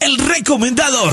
El recomendador.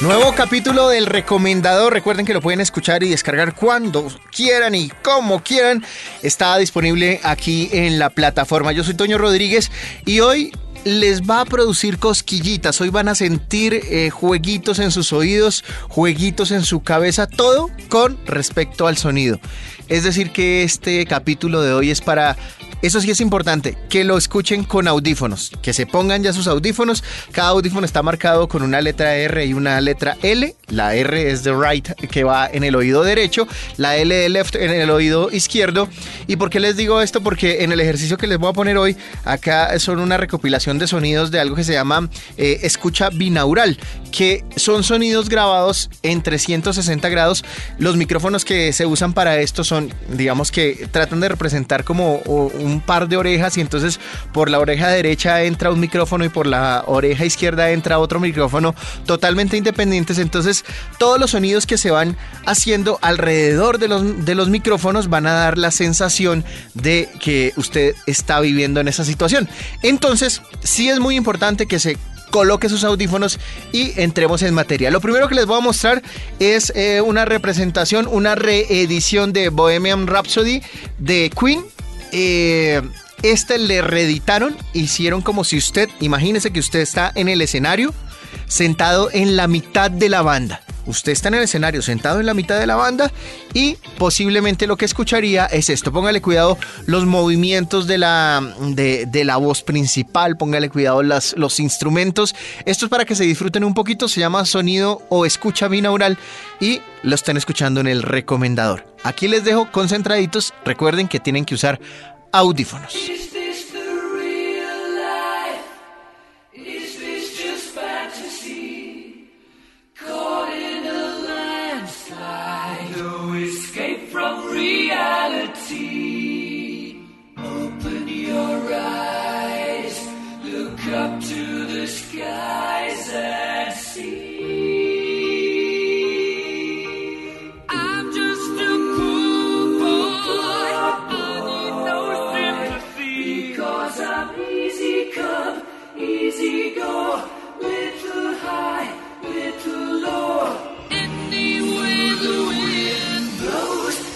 Nuevo capítulo del recomendador. Recuerden que lo pueden escuchar y descargar cuando quieran y como quieran. Está disponible aquí en la plataforma. Yo soy Toño Rodríguez y hoy les va a producir cosquillitas. Hoy van a sentir eh, jueguitos en sus oídos, jueguitos en su cabeza, todo con respecto al sonido. Es decir, que este capítulo de hoy es para eso sí es importante, que lo escuchen con audífonos, que se pongan ya sus audífonos. Cada audífono está marcado con una letra R y una letra L. La R es de right, que va en el oído derecho, la L de left en el oído izquierdo. ¿Y por qué les digo esto? Porque en el ejercicio que les voy a poner hoy, acá son una recopilación de sonidos de algo que se llama eh, escucha binaural, que son sonidos grabados en 360 grados. Los micrófonos que se usan para esto son digamos que tratan de representar como un par de orejas y entonces por la oreja derecha entra un micrófono y por la oreja izquierda entra otro micrófono totalmente independientes. Entonces todos los sonidos que se van haciendo alrededor de los, de los micrófonos van a dar la sensación de que usted está viviendo en esa situación. Entonces sí es muy importante que se coloque sus audífonos y entremos en materia. Lo primero que les voy a mostrar es eh, una representación, una reedición de Bohemian Rhapsody de Queen. Eh, este le reeditaron, hicieron como si usted, imagínese que usted está en el escenario, sentado en la mitad de la banda. Usted está en el escenario sentado en la mitad de la banda y posiblemente lo que escucharía es esto. Póngale cuidado los movimientos de la, de la voz principal, póngale cuidado las, los instrumentos. Esto es para que se disfruten un poquito, se llama sonido o escucha binaural y lo están escuchando en el recomendador. Aquí les dejo concentraditos, recuerden que tienen que usar audífonos. Open your eyes, look up to the skies and see. I'm just a poor boy, I need no sympathy. Because I'm easy come, easy go, little high, little low. Anyway, the wind blows.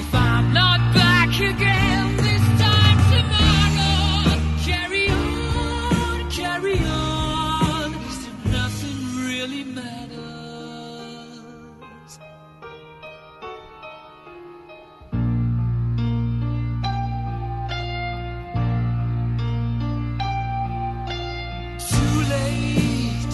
if I'm not back again this time tomorrow. Carry on, carry on, as if nothing really matters. Too late,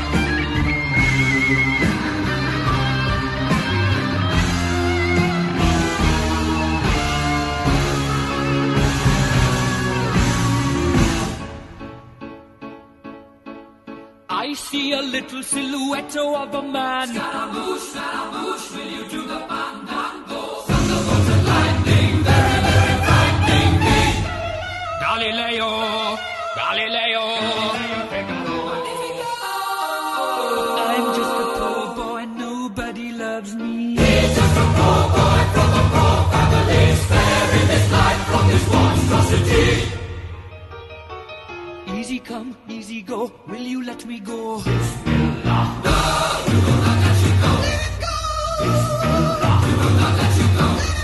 I see a little silhouette of a man. Scaramouche, Scaramouche, will you do the fandango? Thunderbolts and lightning, very, very frightening me. Galileo, Galileo. I'm just a poor boy, nobody loves me. just a poor boy from a poor family, sparing his life from this monstrosity. Easy come, easy go, will you let me go? Bismillah. No, we will not let you go. Let go. Bismillah. We will not let you go.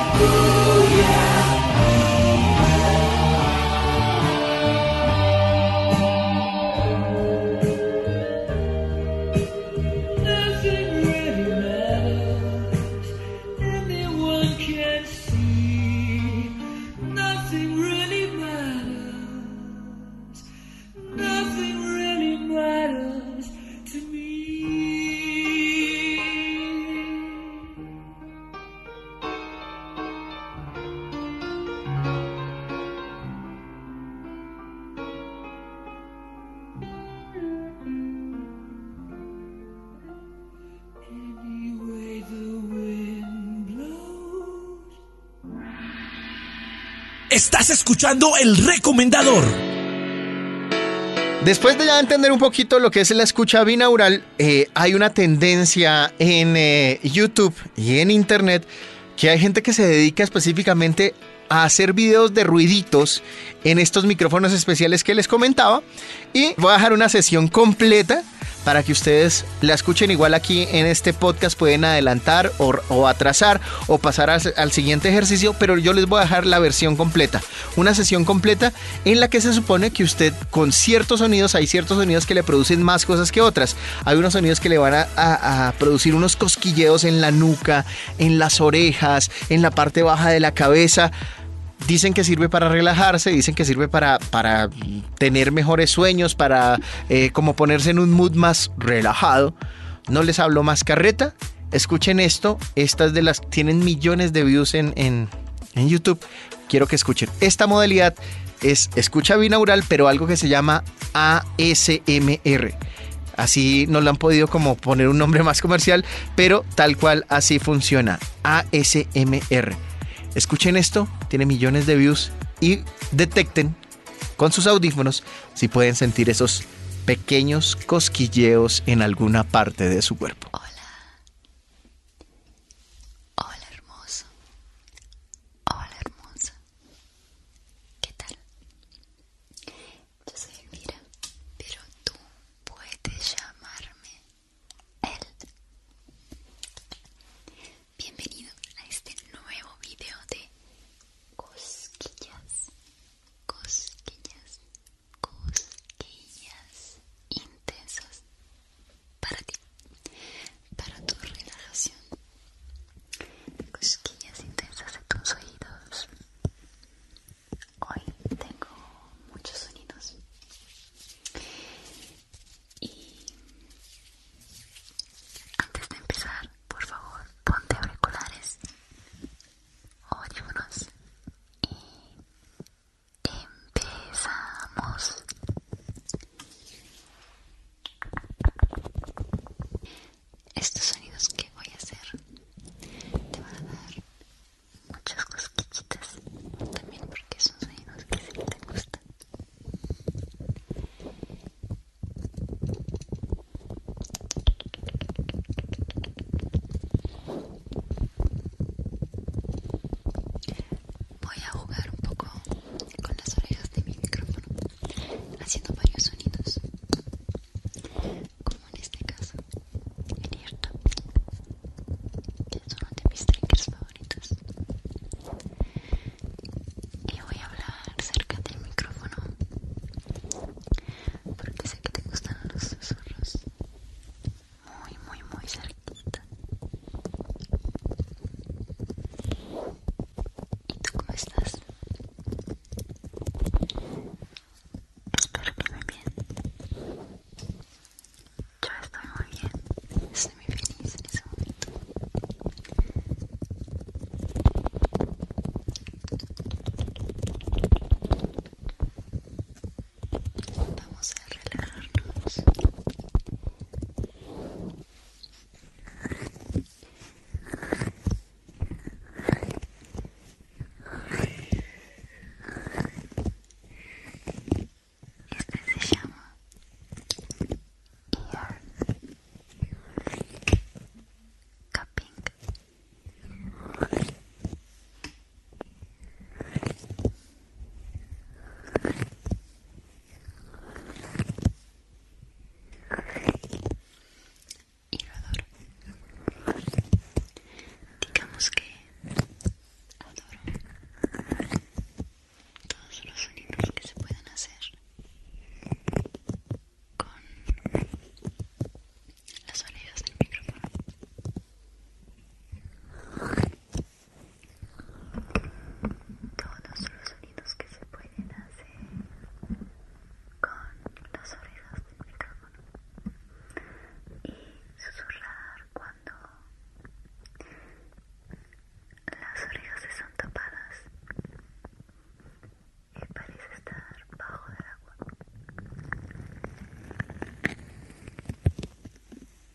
Nothing Nothing Nothing really really really matters. matters. matters to me. Estás escuchando el recomendador. Después de ya entender un poquito lo que es la escucha binaural, eh, hay una tendencia en eh, YouTube y en Internet que hay gente que se dedica específicamente a hacer videos de ruiditos en estos micrófonos especiales que les comentaba y voy a dejar una sesión completa para que ustedes la escuchen igual aquí en este podcast pueden adelantar o, atrasar o pasar al siguiente ejercicio pero yo les voy a dejar la versión completa una sesión completa en la que se supone que usted con ciertos sonidos, hay ciertos sonidos que le producen más cosas que otras. Hay unos sonidos que le van a, producir unos cosquilleos en la nuca, en las orejas, en la parte baja de la cabeza dicen que sirve para relajarse, dicen que sirve para, tener mejores sueños, para eh, como ponerse en un mood más relajado. No les hablo más carreta. Escuchen esto. Estas de las tienen millones de views en, en YouTube. Quiero que escuchen. Esta modalidad es escucha binaural, pero algo que se llama ASMR. Así no lo han podido como poner un nombre más comercial, pero tal cual así funciona. ASMR. Escuchen esto, tiene millones de views y detecten con sus audífonos si pueden sentir esos pequeños cosquilleos en alguna parte de su cuerpo. Hola. Hola hermoso. Hola hermosa. ¿Qué tal? Yo soy Elvira, pero tú puedes llamarme él. Bienvenido a este nuevo video de cosquillas, cosquillas, cosquillas intensas para ti, para tu relajación. Cosquillas intensas en tus oídos. Hoy tengo muchos sonidos y antes de empezar, por favor, ponte auriculares, audífonos y empezamos estos sonidos que voy a hacer te van a dar muchas cosquillitas también porque son sonidos que sí te gustan Voy a jugar un poco con las orejas de mi micrófono, haciendo varios sonidos, como en este caso, el que es uno de mis triggers favoritos. Y voy a hablar cerca del micrófono, porque sé que te gustan los susurros muy muy muy cerquita ¿Y tú cómo estás? Espero que muy bien Yo estoy muy bien, estoy muy feliz en ese momento Vamos a relajarnos. Este se llama ear cupping adoro Digamos que adoro todos los sonidos que se pueden hacer con las orejas del micrófono todos los sonidos que se pueden hacer con las orejas del micrófono y susurrar cuando las orejas están tapadas y parece estar bajo del agua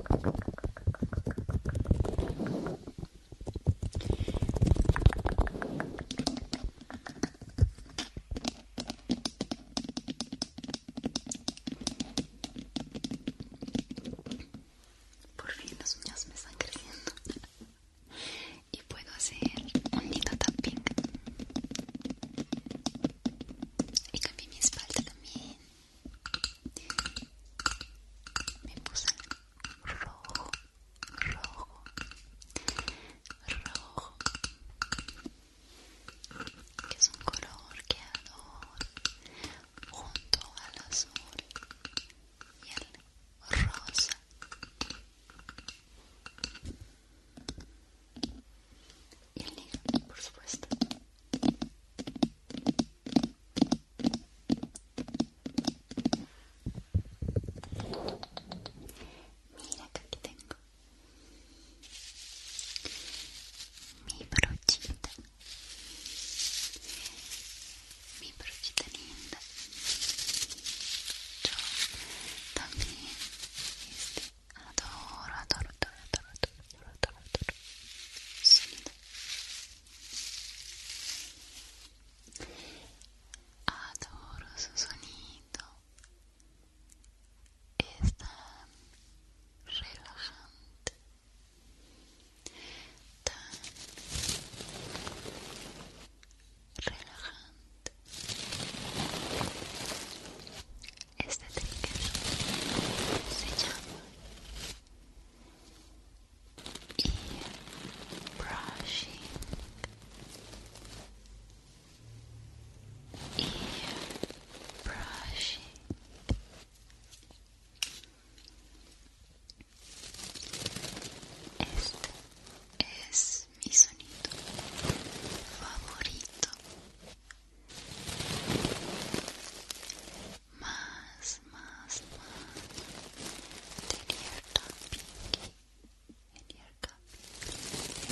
Por fin los uñas me están creciendo y puedo hacer un lindo tapping. Y cambié mi espalda también me puse rojo, rojo, rojo, que es un color que adoro junto al azul y el rosa. Y el negro, por supuesto. Mira que tengo mi brochita, mi brochita linda. Yo también este, Adoro, adoro, adoro, adoro, adoro, adoro, adoro. Sonido. Adoro su sonido. relajante. relajante este trigger se llama ear brushing ear brushing este es mi sonido favorito más, más, más interior tapping interior tapping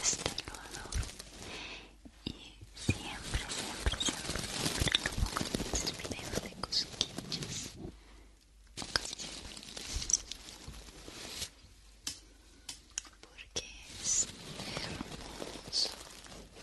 este lo adoro y siempre, siempre, siempre, siempre lo pongo en mis videos de cosquillas o casi siempre porque es hermoso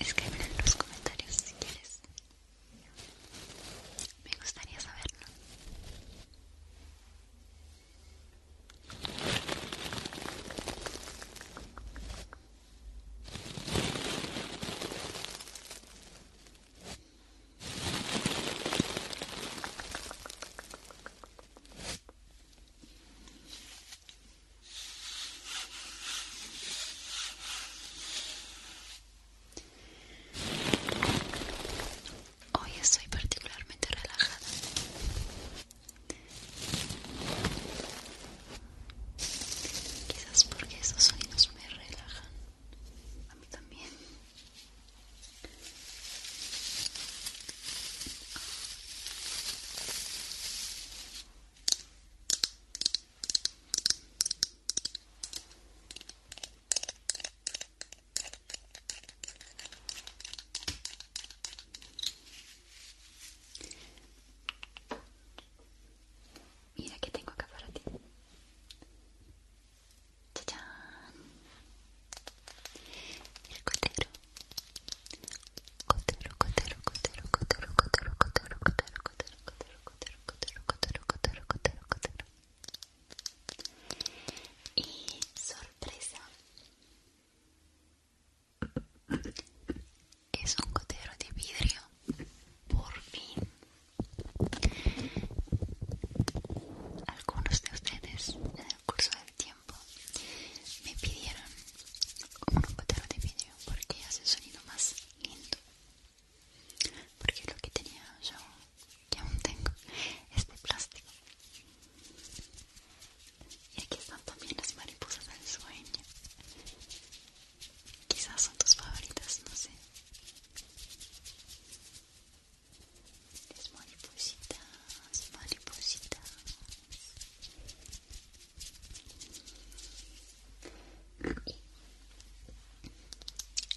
Escribe en los comentarios si quieres. Me gustaría saberlo. Hoy estoy particularmente relajada. Quizás porque esos sonidos me relajan. A mí también. Mira que tengo acá para ti. El cotero. Cotero, cotero, cotero, cotero, cotero, cotero, cotero, cotero, cotero, cotero, cotero, cotero, cotero, Y sorpresa. Es un gotero de vidrio. Por fin. Algunos de ustedes en el curso del tiempo me pidieron un gotero de vidrio porque hace sonido más lindo. Porque lo que tenía yo, que aún tengo, es de plástico. Y aquí están también las mariposas del sueño. Quizás son tus favoritas, no sé. Las maripositas, maripositas.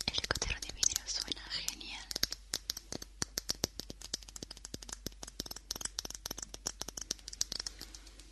El escotero de vidrio suena genial.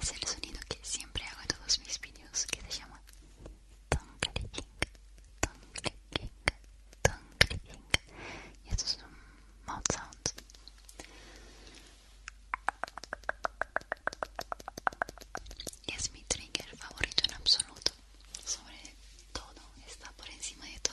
Es el sonido que siempre hago en todos mis vídeos que se llama King, Y esto es un mouth sound. Y es mi trigger favorito en absoluto. Sobre todo, está por encima de todo.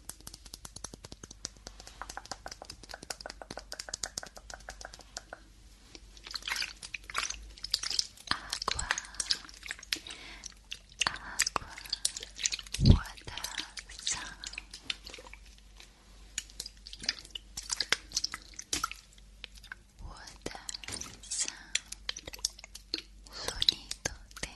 Agua, agua, water sound. Water sound, sonido de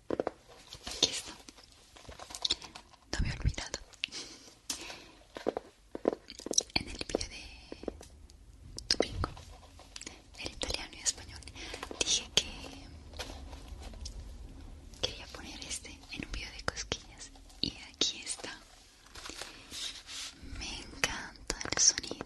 Aquí está. No me he olvidado. En el vídeo de domingo, el italiano y español, dije que quería poner este en un vídeo de cosquillas. Y aquí está. Me encanta el sonido.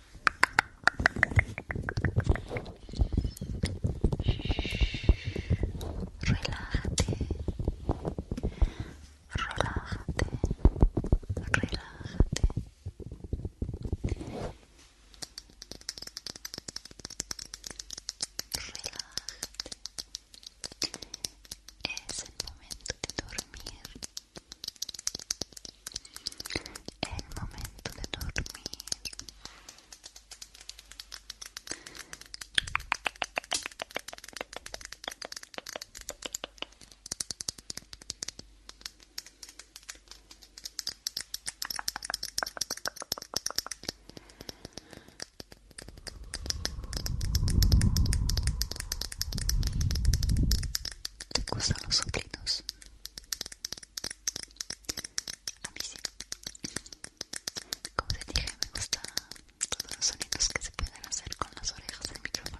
Relájate, relájate, relájate. Relájate. Es el momento de dormir. El momento de dormir. ¿Te gustan los soplidos? A mí sí. Como te dije, me gustan todos los sonidos que se pueden hacer con las orejas del micrófono.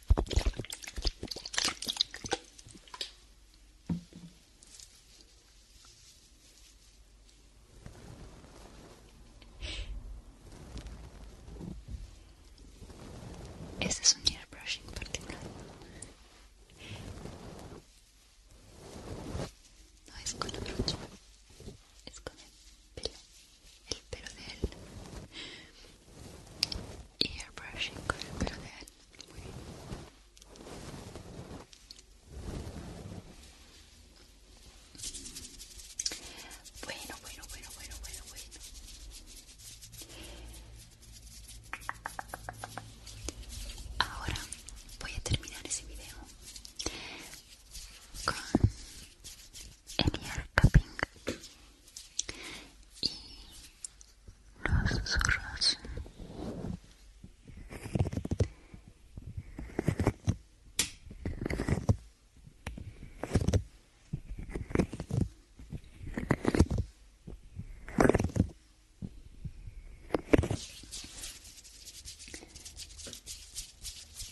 ese es un airbrushing particular. No es con la brocha, es con el pelo el pelo de él y brushing con el pelo de él muy bien bueno bueno bueno bueno bueno bueno ahora voy a terminar ese video con Eniel cupping y los susurros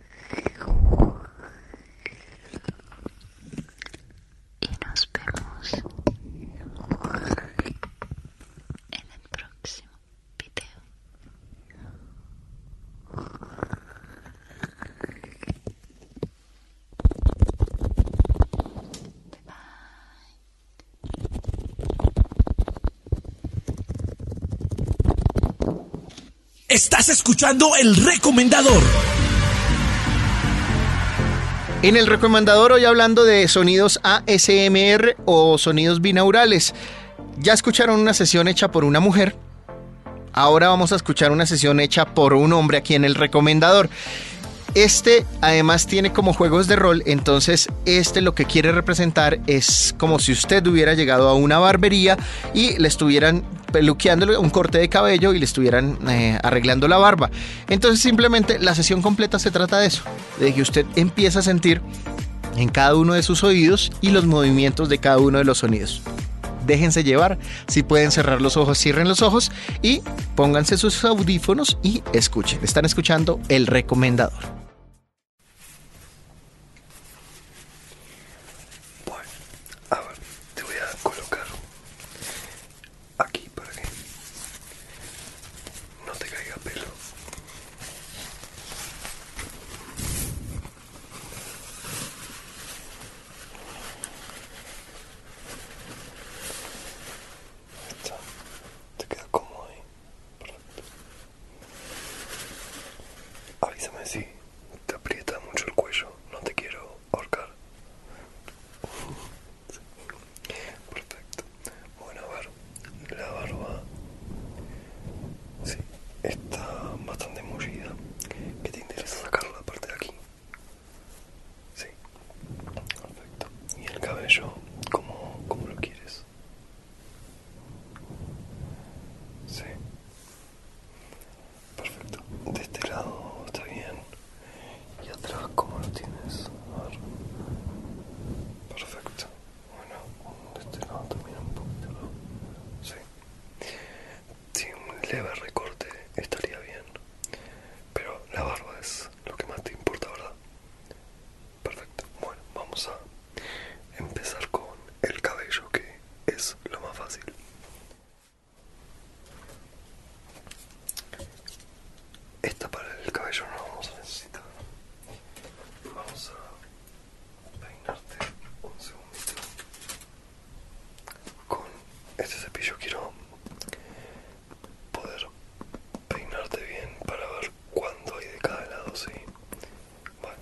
Y nos vemos en el próximo video. Bye. Estás escuchando el recomendador. En el recomendador hoy hablando de sonidos ASMR o sonidos binaurales. Ya escucharon una sesión hecha por una mujer. Ahora vamos a escuchar una sesión hecha por un hombre aquí en el recomendador. Este además tiene como juegos de rol, entonces este lo que quiere representar es como si usted hubiera llegado a una barbería y le estuvieran peluqueándole un corte de cabello y le estuvieran eh, arreglando la barba. Entonces simplemente la sesión completa se trata de eso, de que usted empieza a sentir en cada uno de sus oídos y los movimientos de cada uno de los sonidos. Déjense llevar, si pueden cerrar los ojos, cierren los ojos y pónganse sus audífonos y escuchen. Están escuchando el recomendador. Bueno, ver, te voy a colocar aquí para que no te caiga pelo. Te queda cómodo ahí. Avísame si te aprieta mucho el cuello, no te quiero ahorcar. Perfecto. Bueno, a ver, la barba sí, está bastante mullida. que te interesa sacar la parte de aquí? Sí, perfecto. ¿Y el cabello? como lo quieres? Sí. Perfecto. De este lado está bien. Y atrás, como lo tienes? A ver. Perfecto. Bueno, de este lado también un poquito, Sí. Sí, un leve recorte estaría bien. Pero la barba es lo que más te importa, ¿verdad? Perfecto. Bueno, vamos a empezar con el cabello, que es lo más fácil. Esta para el cabello no la vamos a necesitar. Vamos a peinarte un segundito. Con este cepillo quiero poder peinarte bien para ver cuándo hay de cada lado, sí. Bueno,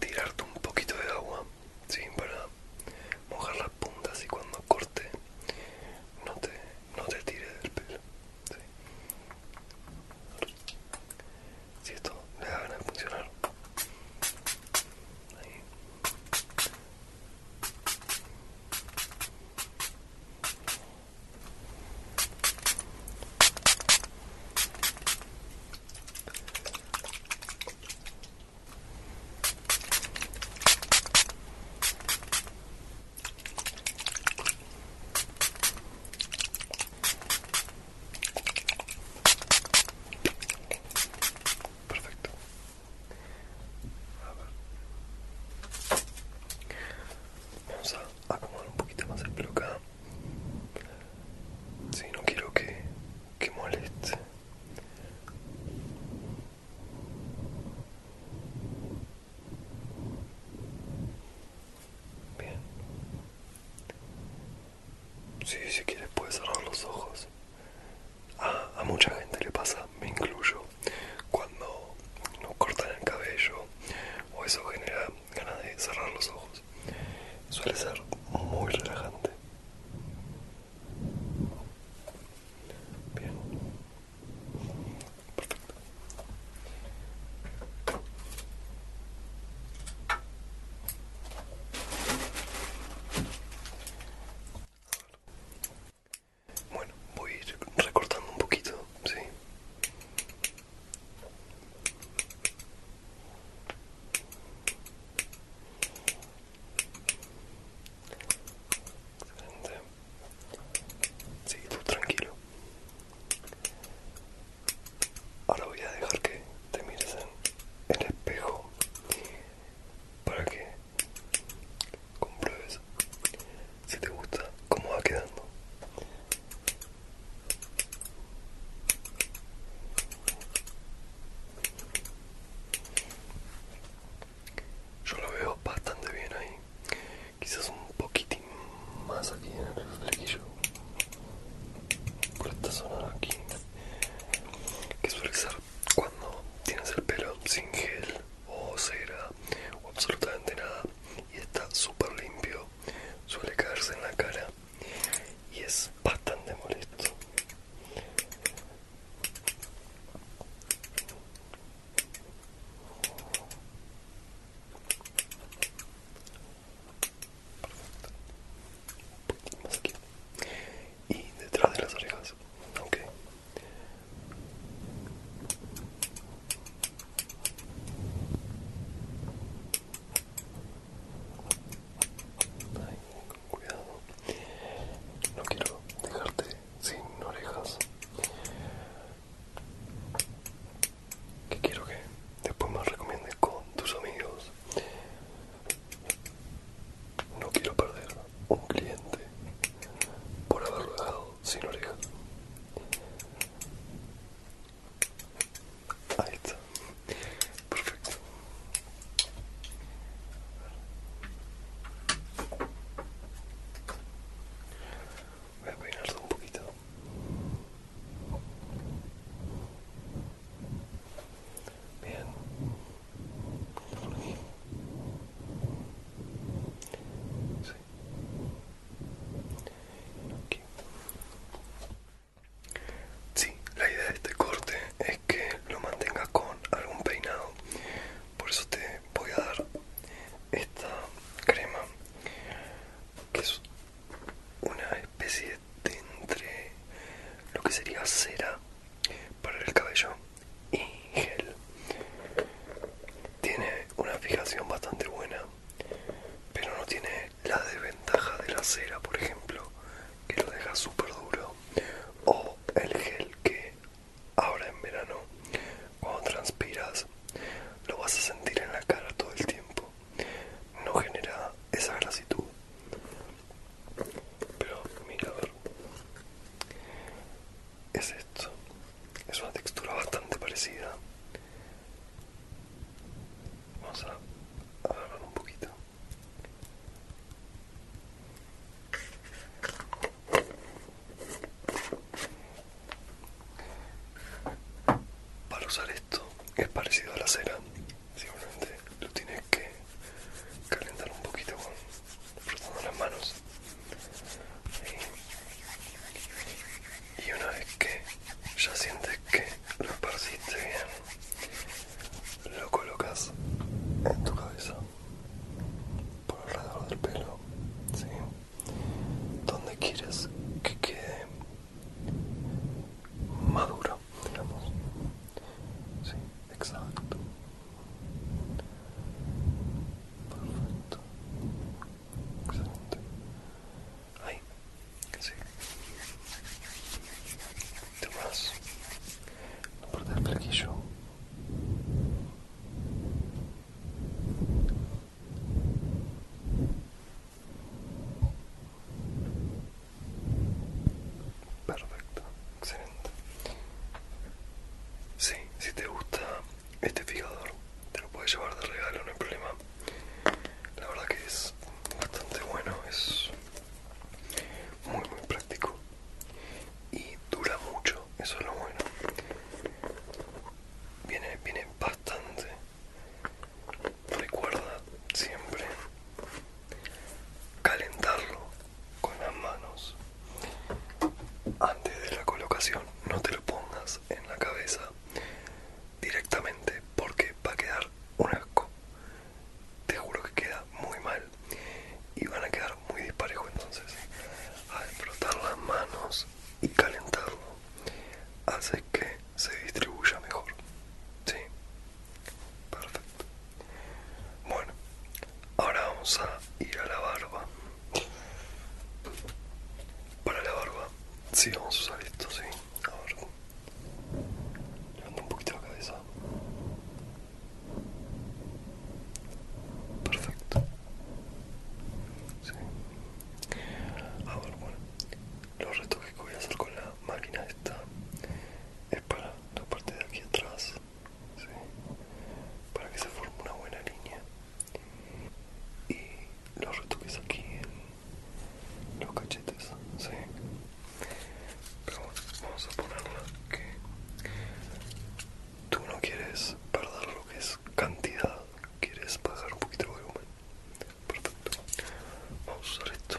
tirarte un poquito de agua para mojar las puntas y cuando corte no te, no tire del pelo si esto le da ganas de funcionar Perfecto. Vamos a acomodar un poquito más el pelo Si sí, no quiero que que moleste. Bien. Sí, si quieres puedes cerrar los ojos. a mucha gente le pasa, me incluyo, cuando nos cortan el cabello o eso genera ganas de cerrar los ojos. Suele ser muy relajante. Bien. Bueno, voy recortando un poquito, ¿sí? Excelente. Sí, tú tranquilo. Ahora voy a dejar que te mires en el espejo para que compruebes si te gusta cómo va quedando. Yo lo veo bastante bien ahí. Quizás un poquitín más aquí en el flequillo. Por esta zona aquí. Que suele ser cuando tienes el pelo sin gel o cera o absolutamente nada y está súper limpio. Suele caerse en la cara y es bastante molesto y detrás de las orejas ok cuidado. No quiero dejarte sin orejas. Que quiero que después me recomiendes con tus amigos. No quiero perder un cliente por haberlo dejado sin orejas. Ahí está. Perfecto. Voy a peinarlo un poquito. Bien. Por aquí. Sí. Aquí. Sí, la idea de este corte es que lo mantengas con algún peinado. Por eso te voy a dar esta crema, que es una especie de entre lo que sería cera para el cabello y gel. Tiene una fijación bastante buena, pero no tiene la desventaja de la cera, por ejemplo, que lo deja súper duro. O el gel que ahora en verano, cuando transpiras, lo vas a sentir en la cara todo el tiempo. No genera esa grasitud. Pero mira, a Es esto. Es una textura bastante parecida. Vamos a agarrar un poquito. Para usar esto es parecido a la cera, simplemente lo tienes que calentar un poquito con las manos. Y, y una vez que ya sientes que lo esparciste bien, lo colocas en tu cabeza por alrededor del pelo donde quieres que quede maduro digamos sí exacto perfecto ahí que sí see la parte del flequillo. Perfecto, excelente. Sí, si te gusta este fijador, te lo puedes llevar de regalo, no hay problema. La verdad que es bastante bueno, es muy muy práctico y dura mucho eso es lo bueno viene viene bastante recuerda siempre calentarlo con las manos antes de la colocación no te lo pongas en la cabeza directamente porque va a quedar un asco te juro que queda muy mal y van a quedar muy disparejos entonces A frotar las manos y calentarlo hace que se distribuya mejor sí perfecto bueno ahora vamos a ir a la barba para la barba sí vamos a usar esto sí a Levanta un poquito la cabeza. Perfecto. Sí. Ahora, bueno, los retoques que voy a hacer con la máquina esta es para la parte de aquí atrás, ¿sí? para que se forme una buena línea. Y los retoques aquí en los cachetes, vamos a ponerla que tú no quieres perder lo que es cantidad, quieres bajar un poquito de volumen. Perfecto. Vamos a usar esto.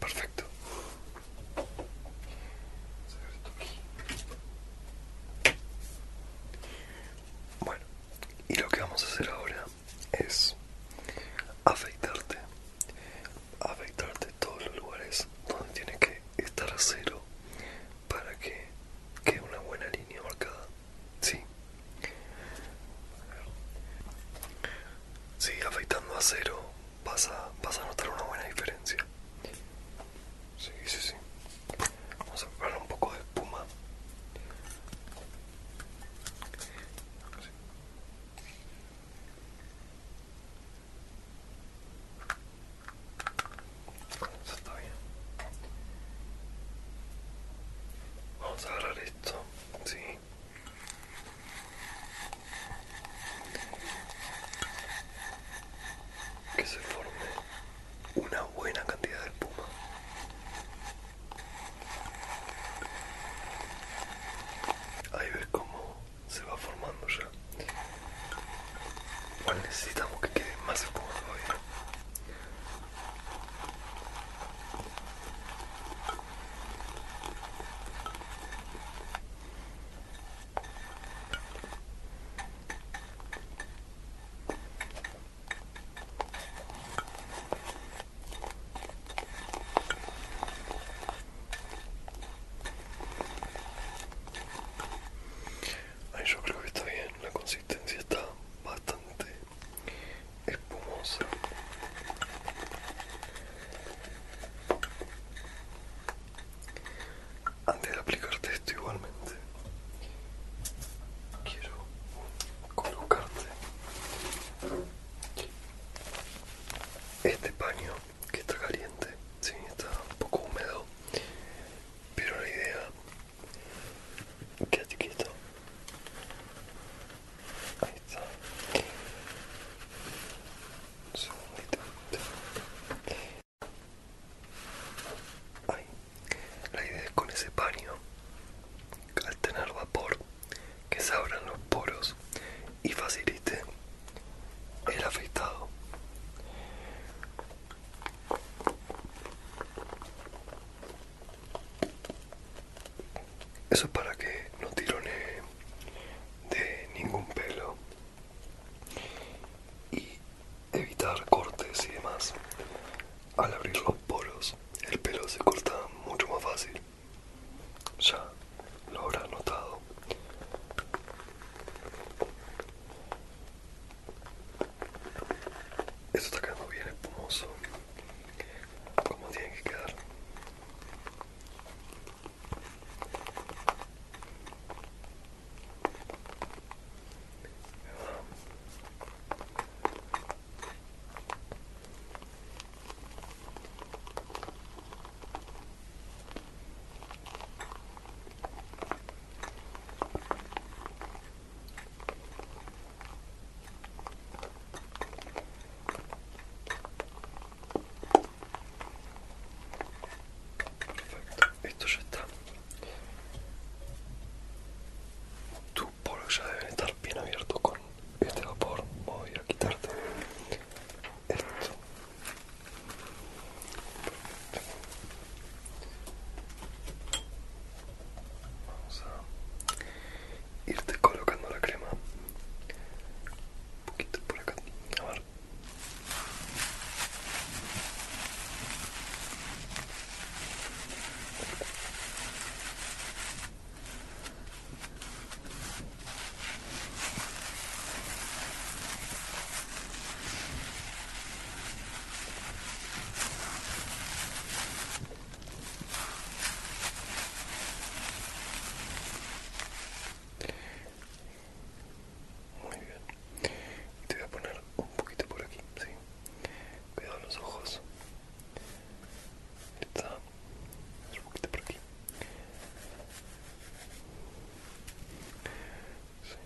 Perfecto. Bueno, y lo que vamos a hacer ahora es afeitarte, afeitarte todos los lugares donde tiene que estar a cero para que quede una buena línea marcada, sí, sí afeitando a cero vas a, notar una buena diferencia. Sí, sí, sí. Vamos a preparar un poco de espuma. Vamos a agarrar esto, sí. Que se forme una buena cantidad de espuma. Ahí ves cómo se va formando ya. Igual necesitamos que quede más espuma Ay, yo creo que está bien, la consistencia está bastante espumosa. Antes de aplicarte esto igualmente, quiero colocarte este paño que está caliente, sí, está un poco húmedo, pero la idea, quédate quieto, ahí está, un segundito, la idea es con ese paño, al tener vapor que se abran los poros y facilite el afeitado. Eso es para que no tirone de ningún pelo y evitar cortes y demás. Al abrir los poros, el pelo se corta mucho más fácil. Ya lo habrá notado. Esto está quedando bien espumoso. Como tiene que quedar. Perfecto, esto ya está. Tu polos ya debe estar bien abierto con este vapor voy a quitarte esto vamos a irte colocando la crema un poquito por acá a ver muy bien. Te voy a poner un poquito por aquí, sí. Cuidado los ojos. Está un poquito por aquí. Sí.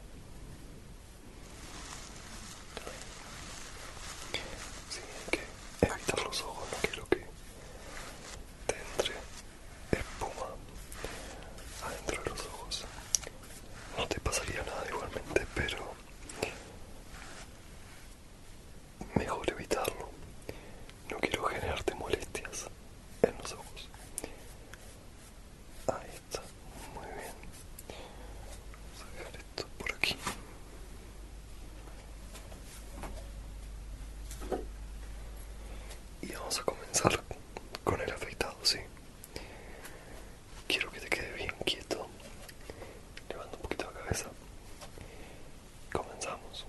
sí, hay que evitar los ojos, no quiero que te entre espuma adentro de los ojos. No te pasaría nada igualmente, pero Mejor evitarlo. No quiero generarte molestias en los ojos. Ahí está, muy bien. Vamos a dejar esto por aquí. Y vamos a comenzar con el afeitado, sí. Quiero que te quede bien quieto. Levantando un poquito la cabeza. Comenzamos.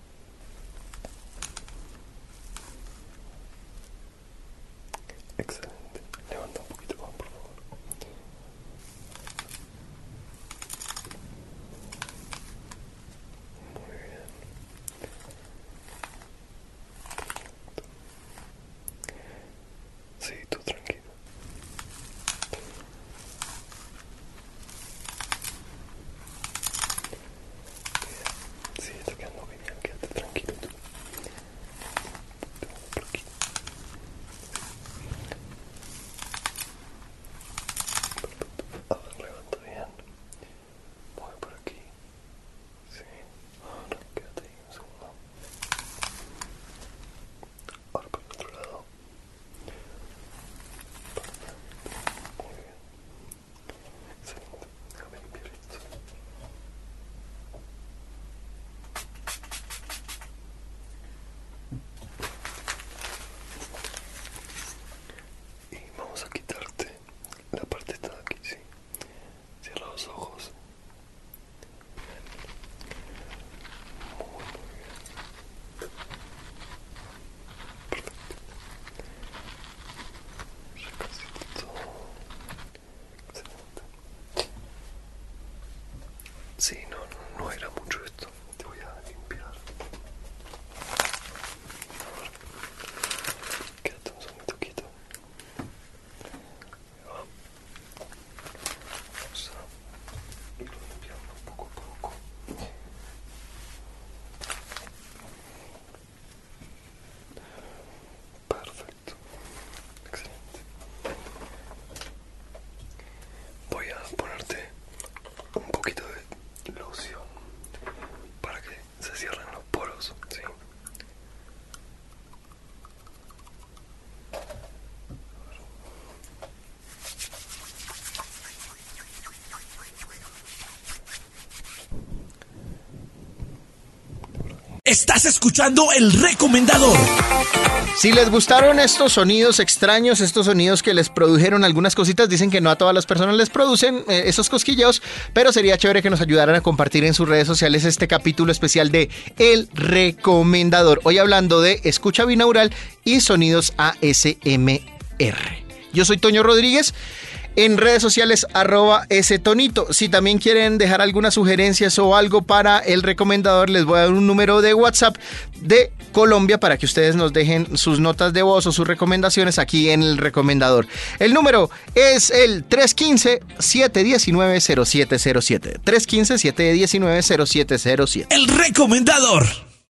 Excelente. Levanta un poquito más, por favor. Muy bien. Perfecto. Sí, tú tranquilo. Sí, está quedando bien. quédate tranquilo tú. A ah, ver, levanta bien. Voy por aquí. Sí, ahora quédate ahí un segundo. Ahora por el otro lado. Y vamos a quitarte la parte de aquí, sí, cierra los ojos perfecto Recasito. Excelente. si, no, no, era mucho esto. Te voy a limpiar. Ahora, quédate un segundo quieto. Vamos a irlo limpiando poco a poco. Perfecto. Excelente. Voy a ponerte un poquito de loción para que se cierren los poros, ¿sí? Estás escuchando el recomendador. Si les gustaron estos sonidos extraños, estos sonidos que les produjeron algunas cositas, dicen que no a todas las personas les producen eh, esos cosquilleos, pero sería chévere que nos ayudaran a compartir en sus redes sociales este capítulo especial de El Recomendador. Hoy hablando de escucha binaural y sonidos ASMR. Yo soy Toño Rodríguez. En redes sociales, arroba ese tonito. Si también quieren dejar algunas sugerencias o algo para el recomendador, les voy a dar un número de WhatsApp de Colombia para que ustedes nos dejen sus notas de voz o sus recomendaciones aquí en el recomendador. El número es el 315-719-0707. 315-719-0707. El recomendador.